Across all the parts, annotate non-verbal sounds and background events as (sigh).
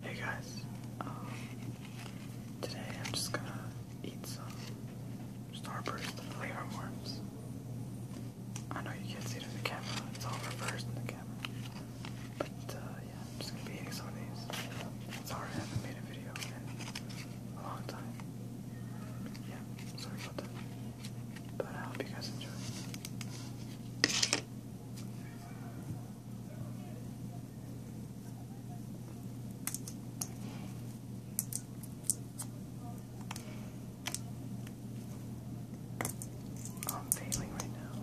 Hey guys, um, today I'm just gonna eat some Starburst flavor worms. I know you can't see it in the camera, it's all reversed in the camera. But uh, yeah, I'm just gonna be eating some of these. Sorry I haven't made a video in a long time. Yeah, sorry about that. But I hope you guys enjoy. I'm failing right now.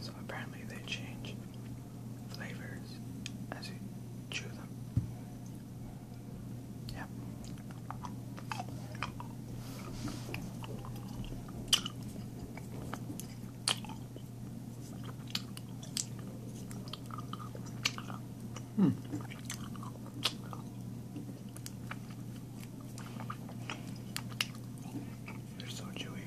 So apparently they change flavors as you chew them. Yeah. Hmm. They're so chewy.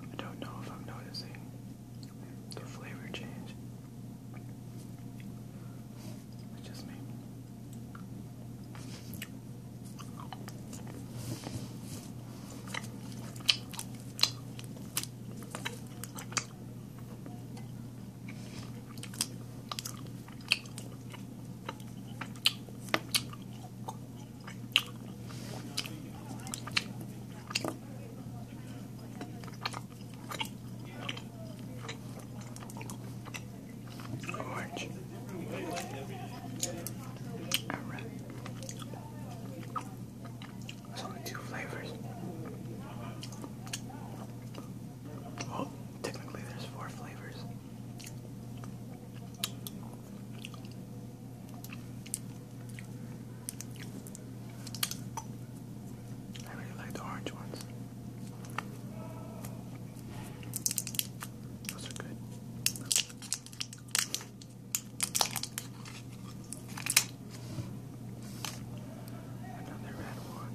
I don't know if I'm noticing the flavor change. It's just me. Orange. All right. There's only two flavors. Well, technically, there's four flavors. I really like the orange ones. Those are good. Another red one.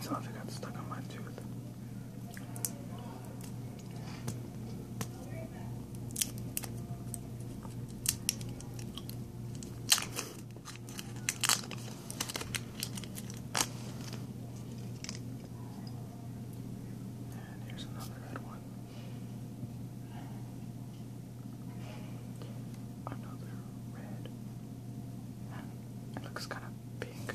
Something got stuck on my tooth. And here's another red one. Another red. It looks kind of pink,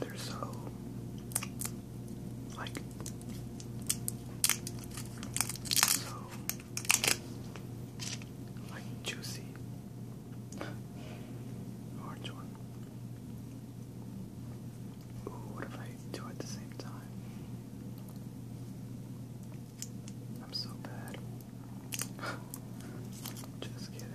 They're so uh, like, so, like juicy. Orange one. Ooh, what if I do it at the same time? I'm so bad. (laughs) Just kidding.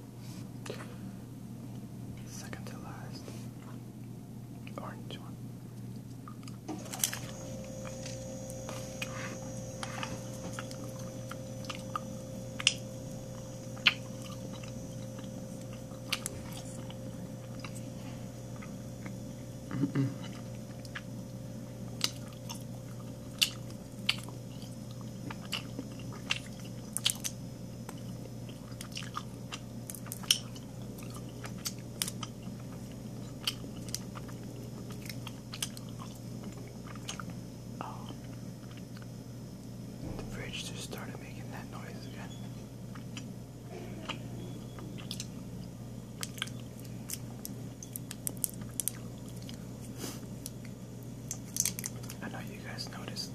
Second to last. Orange one. Mm (laughs) -mm the fridge just started making that noise again. I know you guys noticed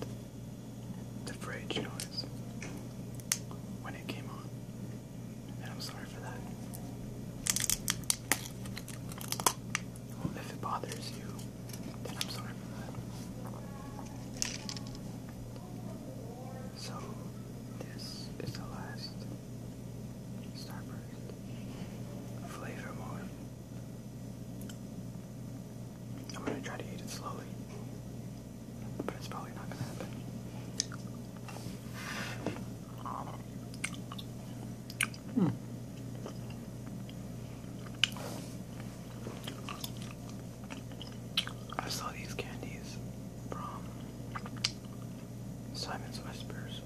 the fridge noise when it came on, and I'm sorry for that. if it bothers you, then I'm sorry for that. So, this is the last Starburst flavor mode I'm gonna try to eat it slowly, but it's probably not gonna happen. Hmm. I saw these candies from Simon's Whispers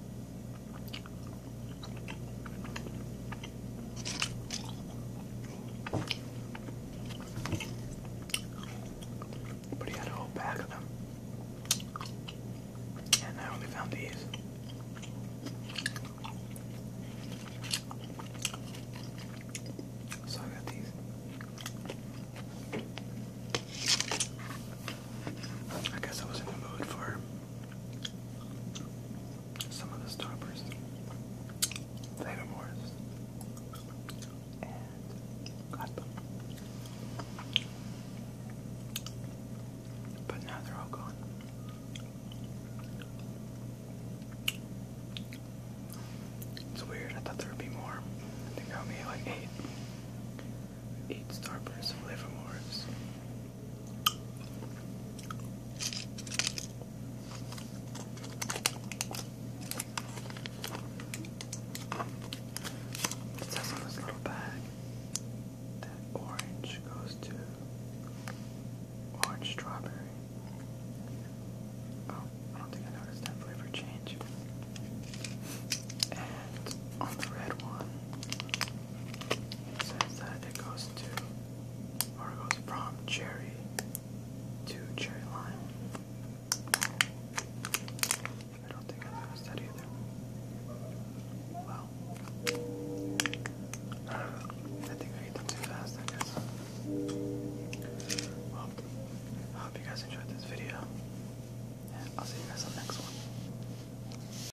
but he had a whole bag of them. And I only found these. So I got these. I guess I was in the mood for some of the stoppers, Thetamores, and got But now they're all gone. It's weird, I thought there would be more. I think I like eight. Eight Starbursts and it says on this little bag that orange goes to orange strawberry. Oh, I don't think I noticed that flavor change. And on the red one, says that it goes to, or it goes from cherry to cherry lime. I don't think I noticed that either. Well, I think I ate them too fast, I guess. Well, I hope you guys enjoyed this video, I'll see you guys on the next one.